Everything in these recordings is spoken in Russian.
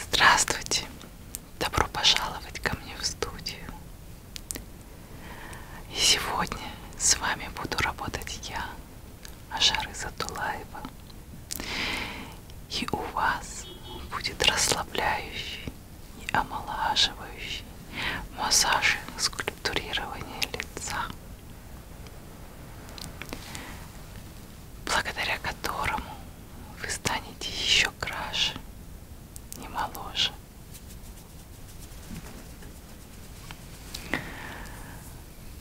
Здравствуйте! Добро пожаловать ко мне в студию. И сегодня с вами буду работать я, Ажары Затулаева. И у вас будет расслабляющий и омолаживающий массаж скульптурирования лица, благодаря которому вы станете еще краше и моложе.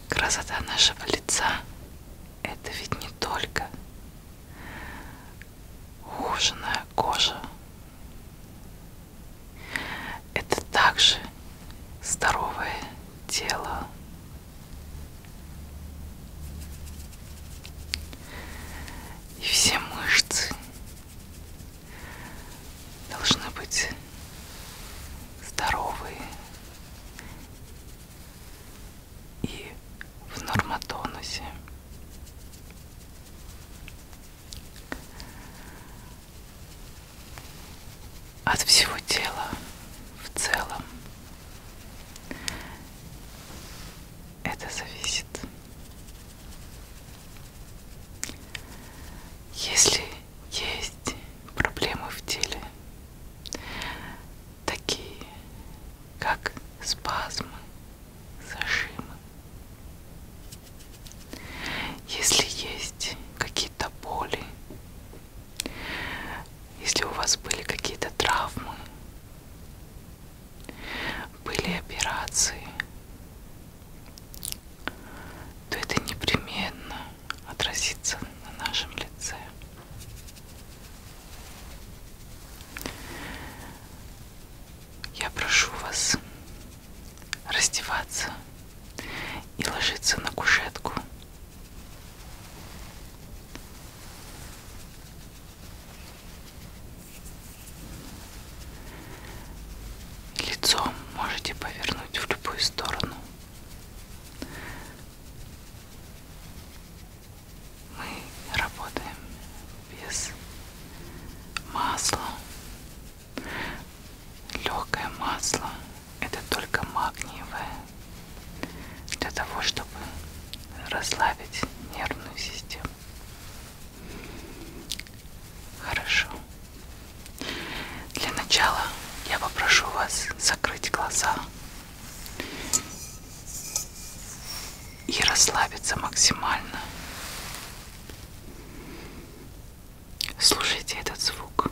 Красота нашего лица – это ведь не только ухоженная кожа. Это также здоровое тело. И все мышцы, должны быть здоровые и в нормотонусе. От всего тела в целом это зависит. Если есть проблемы в теле, такие как спазмы, зажимы, если есть какие-то боли, если у вас были какие-то травмы, были операции, то это непременно отразится на нашем лице. Я прошу вас раздеваться и ложиться на кушетку. Лицо можете повернуть в любую сторону. Мы работаем без масла. Легкое масло это только магниевое для того, чтобы расслабить нервную систему. Хорошо. Для начала я попрошу вас закрыть глаза и расслабиться максимально. Слушайте этот звук.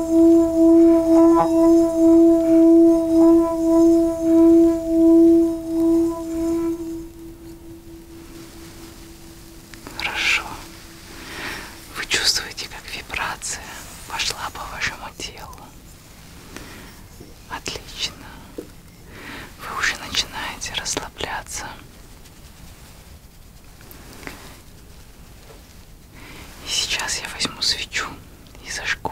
Хорошо. Вы чувствуете, как вибрация пошла по вашему телу. Отлично. Вы уже начинаете расслабляться. И сейчас я возьму свечу и зажгу.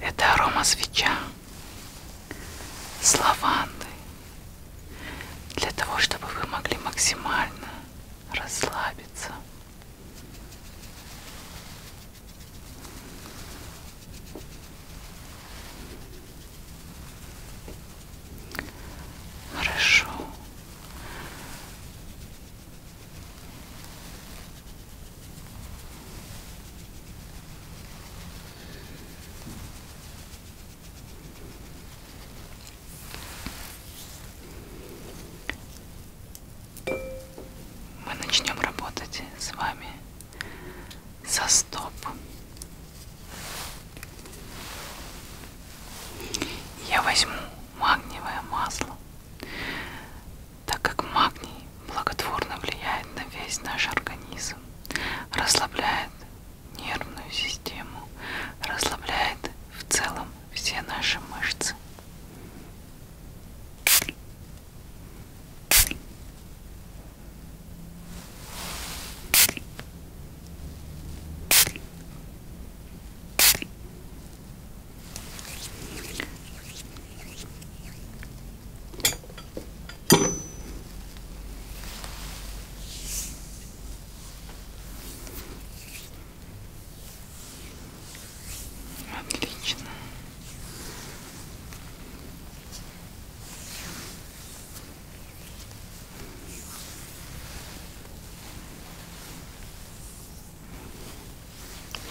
Это арома свеча с лавандой для того, чтобы вы могли максимально расслабиться. Хорошо. Мы начнем работать с вами со стоп. Я возьму магниевое масло, так как магний благотворно влияет на весь наш организм сердце, расслабляет нервную систему, расслабляет в целом все наши мышцы. Отлично.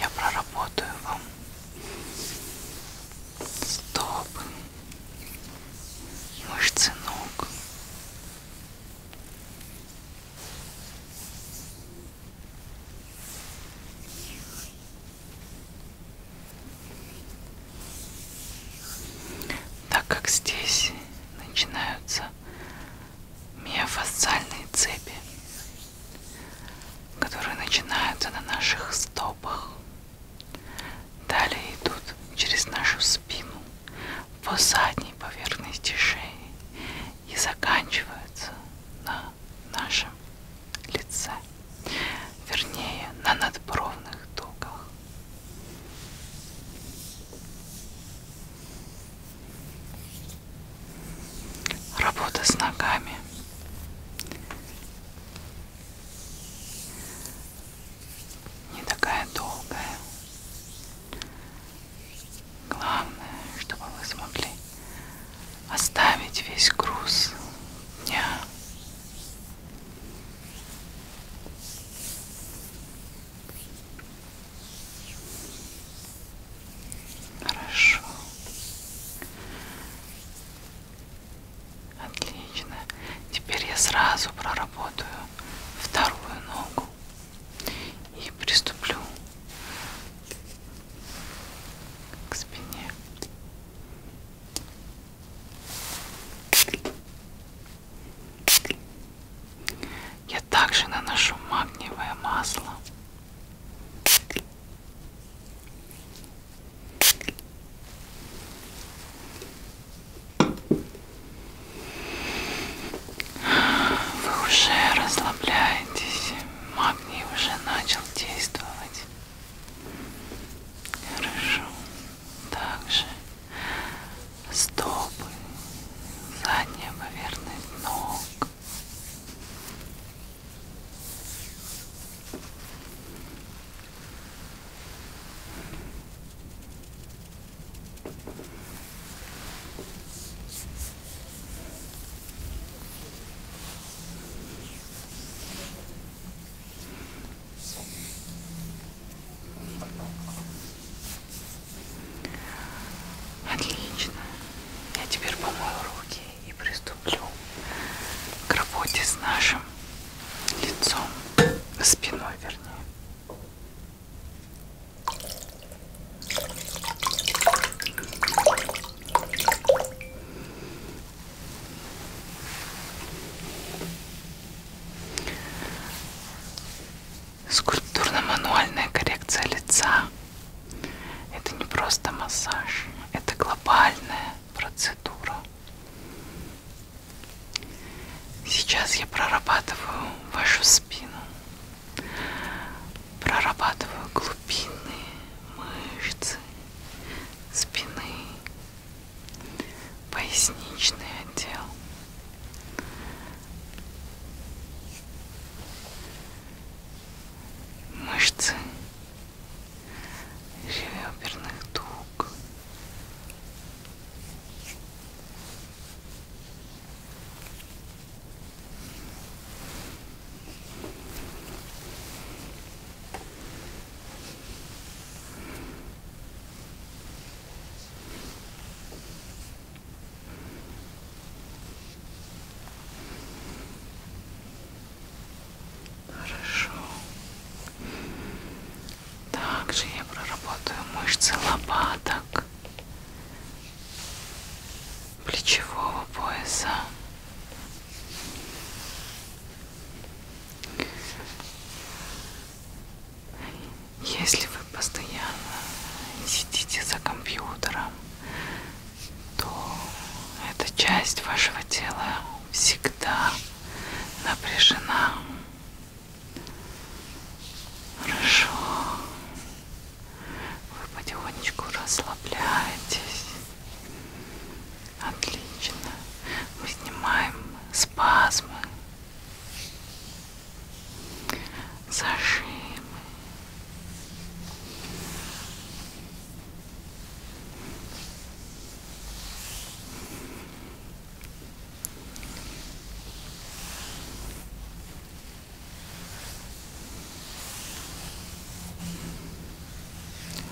Я проработаю вам стоп, мышцы ног. Так как здесь начинаются миофасциальные цепи, которые начинаются на наших стопах Далее идут через нашу спину по задней поверхности шеи и заканчиваются на нашем лице, вернее на надбровных дугах. Работа с ногами не такая долгая. Главное, чтобы вы смогли оставить весь груз дня. Хорошо. Отлично. Теперь я сразу проработаю вторую ногу и приступлю к спине. Я также наношу магниевое масло вы уже расслабляетесь, магний уже начал действовать. Хорошо. Также стопы, задняя поверхность ног, Отлично. Я теперь помою руки и приступлю к работе с нашим лицом, спиной вернее. Скульптурно-мануальная коррекция лица – это не просто массаж, это глобальная процедура Сейчас я прорабатываю вашу спину, прорабатываю глубинные мышцы спины, поясничный отдел. Мышцы реберных дуг. М -м -м. Хорошо. Также я проработаю мышцы лопаток, плечевого пояса. Если вы постоянно сидите за компьютером, то эта часть вашего тела всегда напряжена. Хорошо. Вы потихонечку расслабляетесь. Отлично. Мы снимаем спазмы, зажимы.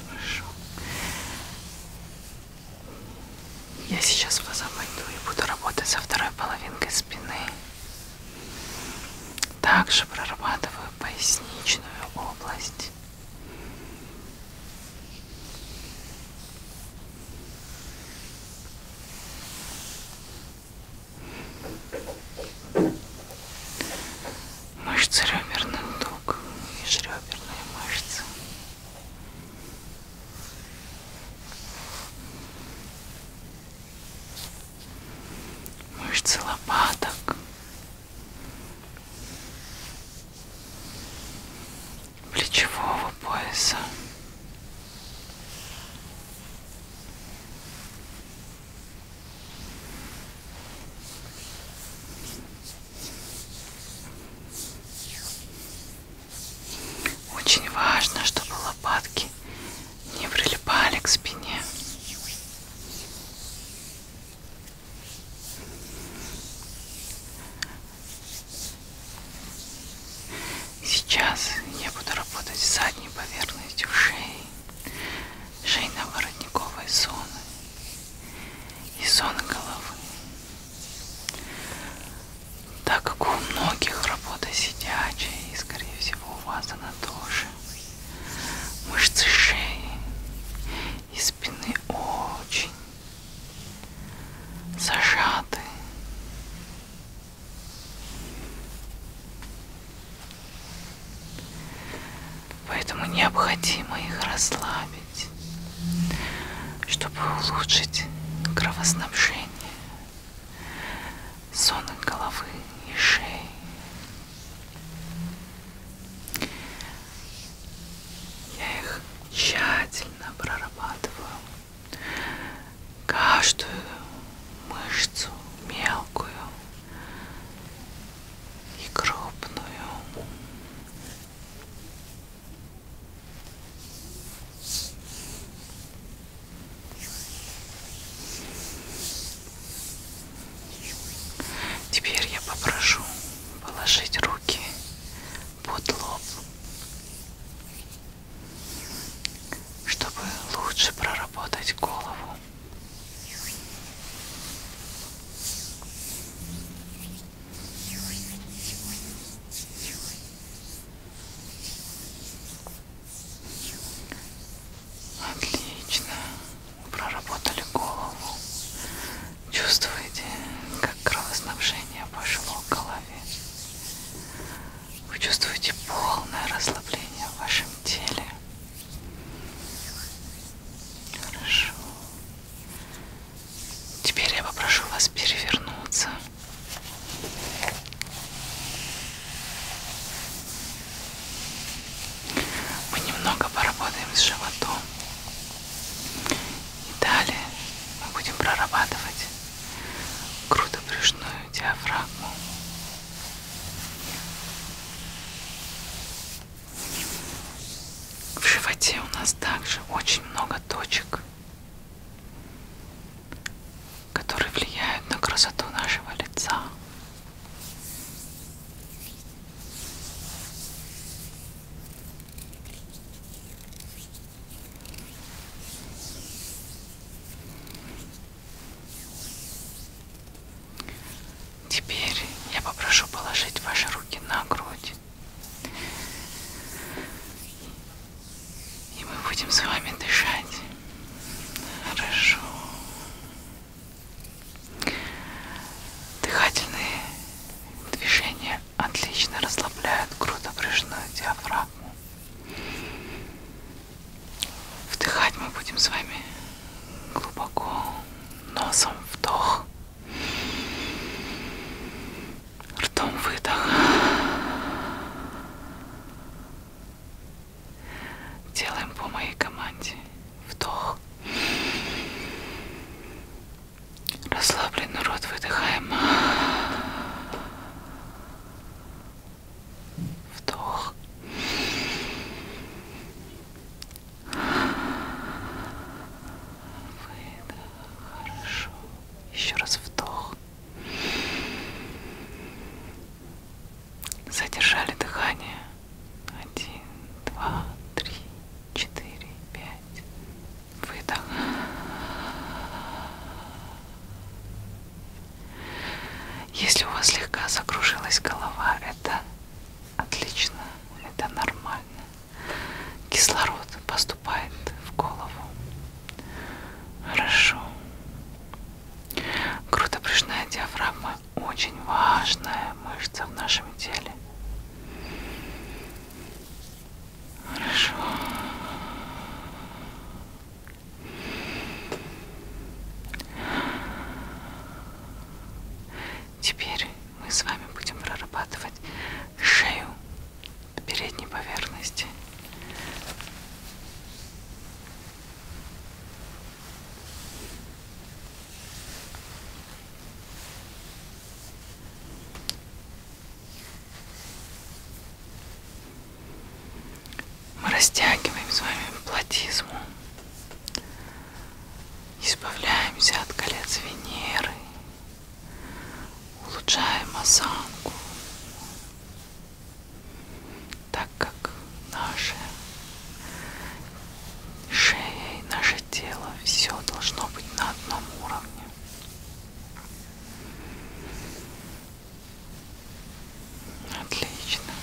Хорошо. Я сейчас в глаза пойду и буду работать со второй половинкой спины. Также прорабатываю поясничную область. Мышцы реберных дуг, межреберные мышцы. Мышцы лопаток, плечевого пояса. Очень важно, чтобы лопатки не прилипали к спине. Сейчас я буду работать с задней поверхностью шеи, шейно-воротниковой зоны и зоны головы. Так как у многих работа сидячая, и скорее всего у вас она тоже, мышцы шеи и спины очень зажаты. Поэтому необходимо их расслабить, чтобы улучшить кровоснабжение, сон головы и шеи. Я их тщательно прорабатываю. Каждую мышцу мелкую и крупную. Теперь я попрошу положить руки под лоб, чтобы лучше проработать голову. Отлично. Проработали голову. Чувствуете, как кровоснабжение пошло к голове. Вы чувствуете полное расслабление в вашем теле. Хорошо. Теперь я попрошу вас перевернуться. Мы немного поработаем с животом. И далее мы будем прорабатывать грудопрыжную диафрагму. В животе у нас также очень много точек, которые влияют на красоту нашего лица. Теперь я попрошу положить ваши руки на грудь. И мы будем с вами дышать. Хорошо. Дыхательные движения отлично расслабляют грудопрыжную диафрагму. Вдыхать мы будем с вами глубоко носом вдох, ртом выдох. Делаем по моей команде. Вдох. Расслабленный рот выдыхаем. Вдох. Выдох. Хорошо. Еще раз вдох. Задержали дыхание. Один, два, три, четыре, пять. Выдох. Если у вас слегка закружилась голова, это отлично, это нормально. Кислород поступает в голову. Хорошо. Грудопрыжная диафрагма очень важная мышца в нашем теле. Хорошо. Теперь мы с вами будем прорабатывать шею передней поверхности. Мы растягиваем с вами платизму, избавляемся от колец Венеры, улучшаем осанку, так как наши шея и наше тело все должно быть на одном уровне. Отлично.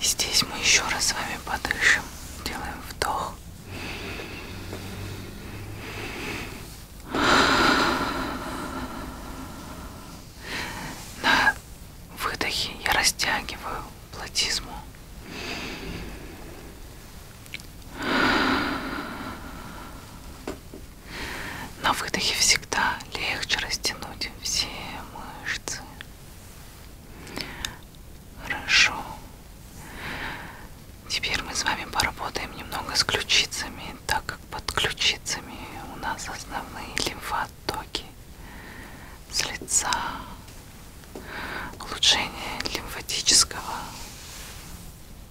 И здесь мы еще раз с вами подышим, делаем вдох. На выдохе я растягиваю платизму. На выдохе всегда легче растянуть все мышцы. Хорошо. Теперь мы с вами поработаем немного с ключицами, так как под ключицами у нас основные лимфа потоки с лица, улучшение лимфатического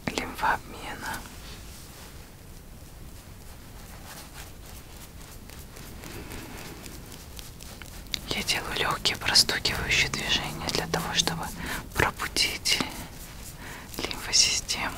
лимфообмена. Я делаю легкие простукивающие движения для того, чтобы пробудить лимфосистему.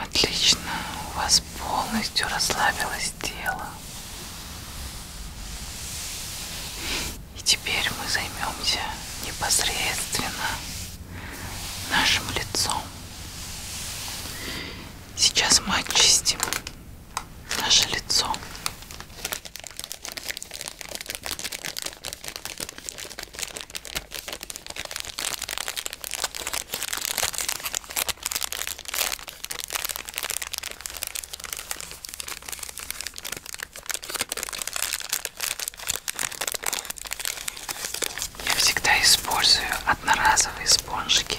Отлично, у вас полностью расслабилось тело. И теперь мы займемся непосредственно нашим лицом. Сейчас мы очистим наше лицо. Я всегда использую одноразовые спонжики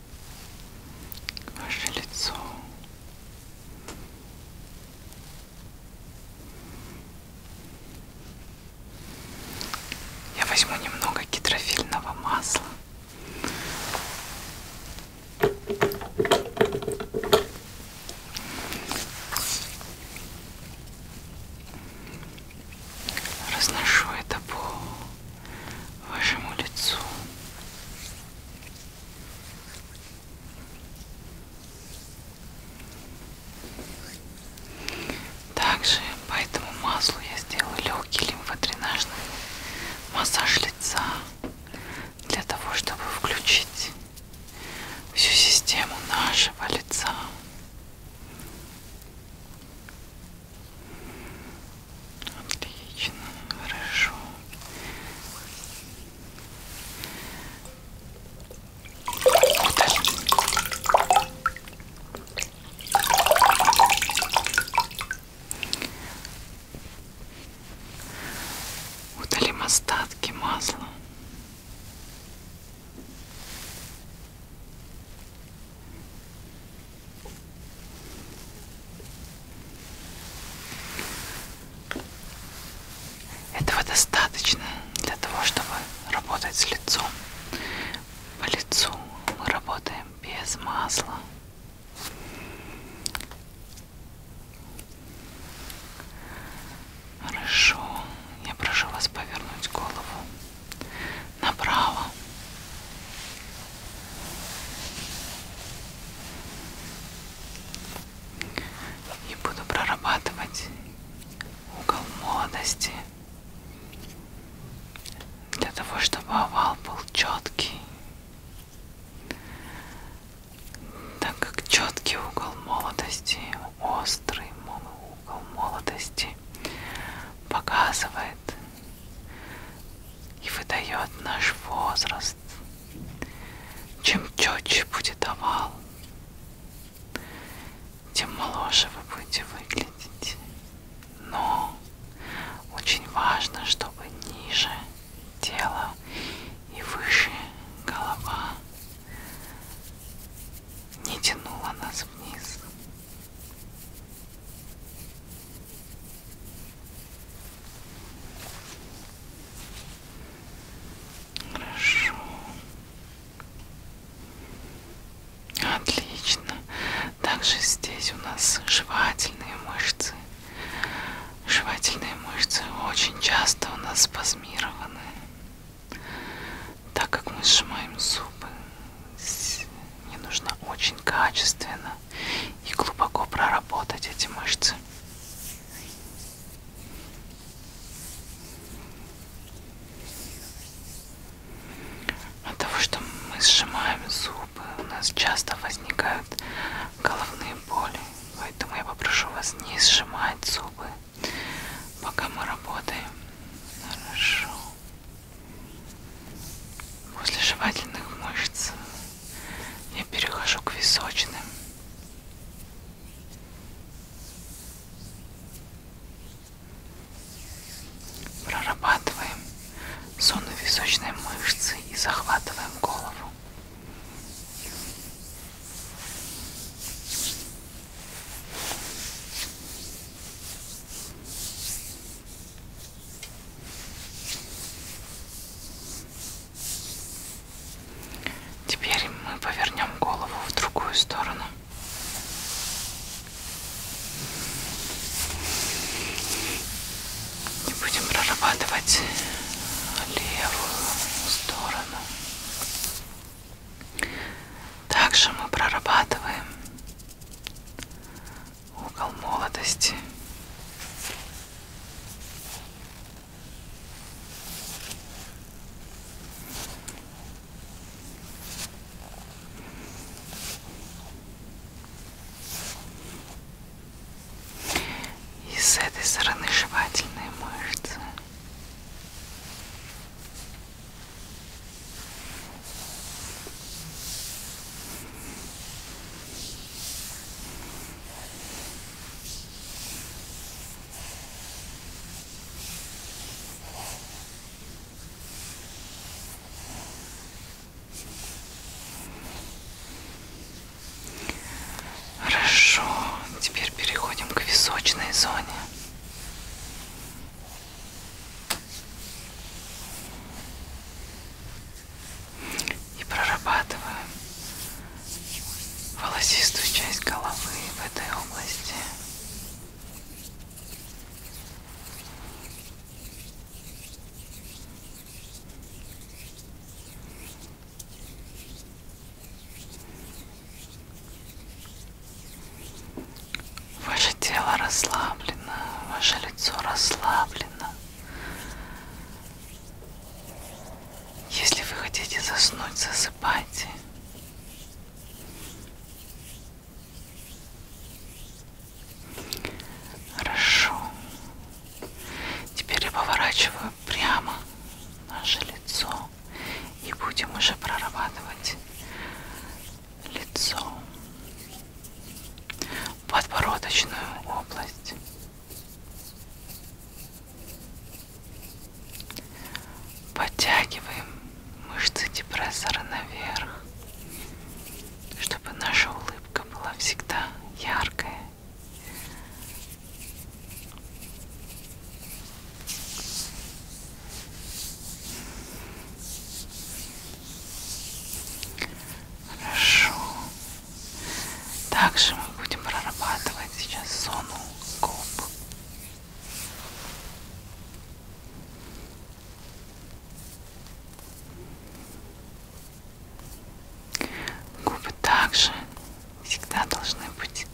ваше лицо. Я возьму немного гидрофильного масла. Разношу это по вашему лицу. Также по этому маслу я сделала легкий лимфодренажный массаж лица для того, чтобы включить всю систему нашего лица. Отлично, хорошо. Вот. Удалим остатки масла. Этого достаточно для того, чтобы работать с лицом. По лицу мы работаем без масла. Хорошо, я прошу вас повернуть голову направо. И буду прорабатывать угол молодости для того, чтобы овал был четкий. Так как четкий угол молодости, острый угол молодости показывает и выдает наш возраст. Чем четче будет овал, тем моложе вы будете выглядеть. Но очень важно, чтобы ниже тело и выше голова не тянула нас вниз. Хорошо. Отлично. Также здесь у нас жевательные мышцы. Жевательные мышцы очень часто у нас спазмированы, так как мы сжимаем зубы. Мне нужно очень качественно и глубоко проработать эти мышцы. От того, что мы сжимаем зубы, у нас часто возникают головные боли. Поэтому я попрошу вас не сжимать зубы, пока мы работаем. Хорошо. После жевательных мышц я перехожу к височным. Прорабатываем зону височной мышцы и захватываем голову. Теперь мы повернем голову в другую сторону. И будем прорабатывать левую сторону. Также мы прорабатываем угол молодости. И с этой стороны жевательные мышцы. Хорошо, теперь переходим к височной зоне и прорабатываем волосистую часть головы в этой области. Ваше тело расслаблено, ваше лицо расслаблено. Если вы хотите заснуть, засыпайте. Хорошо. Теперь я поворачиваю прямо наше лицо и будем уже прорабатывать лицо подбородочную область. Подтягиваем мышцы депрессора наверх, чтобы наша улыбка была всегда яркая. Хорошо. Также мы будем прорабатывать сейчас зону губ. Губы также всегда должны быть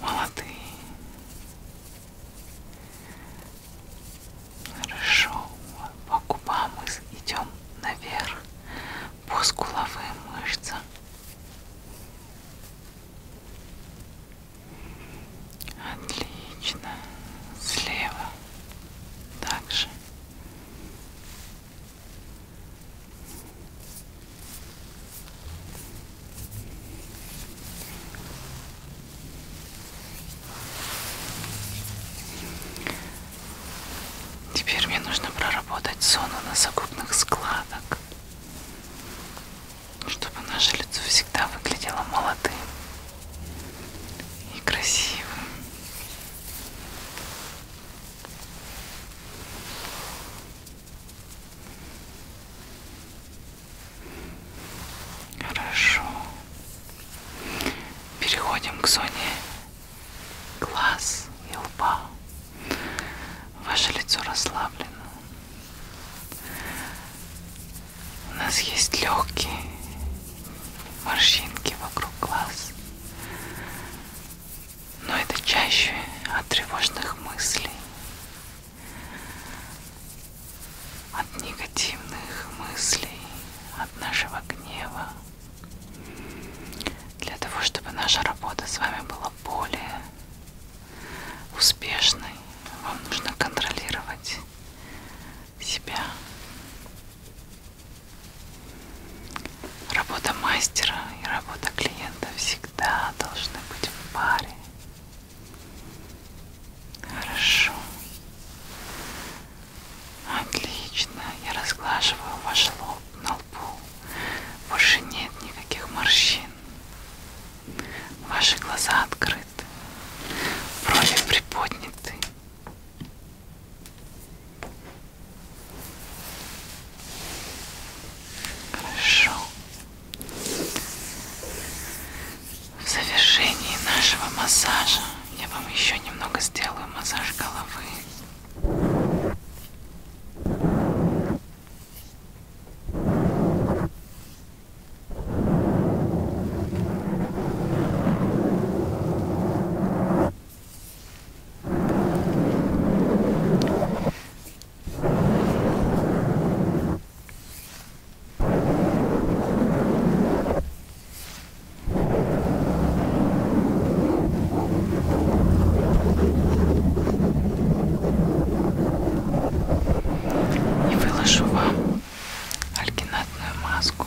молодые. Хорошо. По губам мы идем наверх. По скуловым мышцам. Отлично. Слева. Также. Теперь мне нужно проработать зону носогубных складок, чтобы наше лицо всегда выглядело молодым и красивым. Хорошо. Переходим к зоне глаз и лба. Ваше лицо расслаблено. У нас есть легкие морщинки вокруг глаз. Но это чаще от тревожных мыслей от негативных мыслей, от нашего гнева, для того, чтобы наша работа с вами была более успешной, вам нужно контролировать себя. Работа мастера и работа клиента всегда должны быть в паре. Хорошо. Отлично. Я разглаживаю ваш лоб на лбу. Больше нет никаких морщин. Ваши глаза открыты. Брови приподняты. Хорошо. В завершении нашего массажа я вам еще немного сделаю массаж головы. И выложу вам альгинатную маску.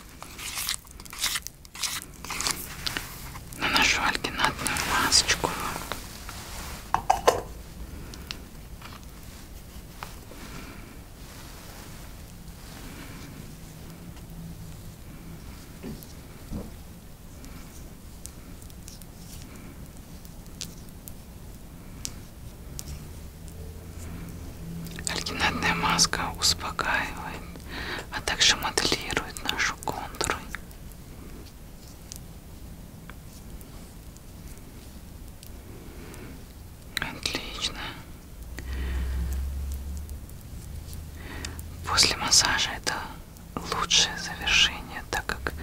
Ну, наношу альгинатную масочку Альгинатная маска успокаивает, а также моделирует нашу контуры. Отлично. После массажа это лучшее завершение, так как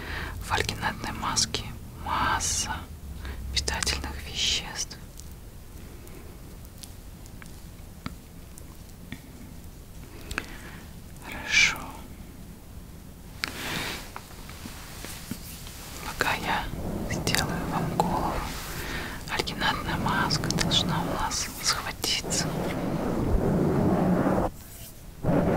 в альгинатной маске масса питательных веществ. Хорошо. Пока я сделаю вам голову, альгинатная маска должна у нас схватиться. Хорошо.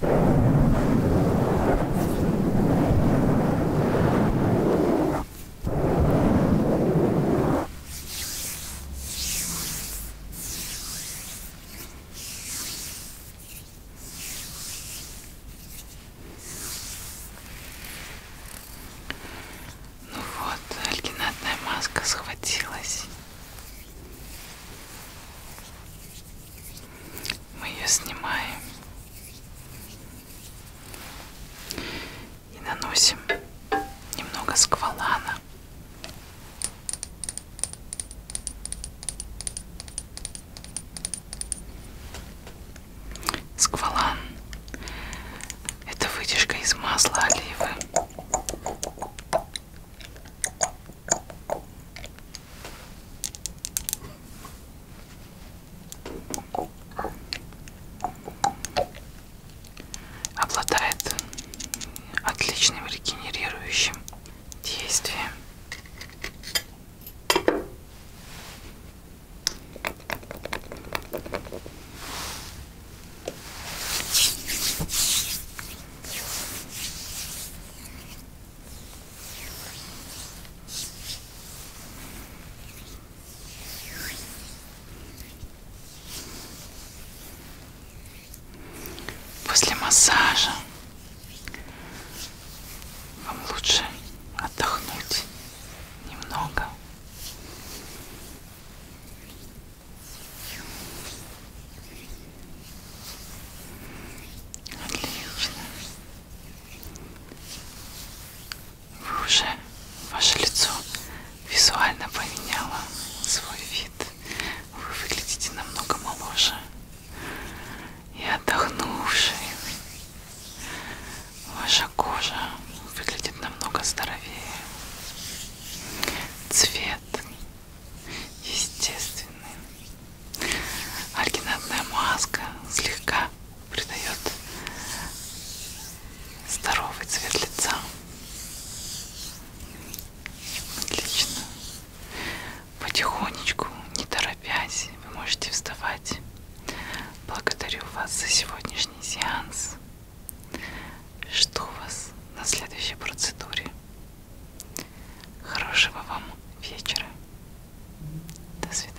Ну вот, альгинатная маска схватилась. Мы ее снимаем и наносим немного сквалана. Сквалан – это вытяжка из масла оливы. Обладает отличным регенерирующим действием. После массажа вам лучше отдохнуть немного Отлично. Вы уже, ваше лицо визуально поменяло свой вид. Вы выглядите намного моложе и отдохнувшей. Ваша кожа выглядит намного здоровее. Цвет естественный. Альгинатная маска слегка придает здоровый цвет лица. Отлично. Потихонечку, не торопясь, вы можете вставать. Благодарю вас за сегодняшний сеанс. Жду вас на следующей процедуре. Хорошего вам вечера. До свидания.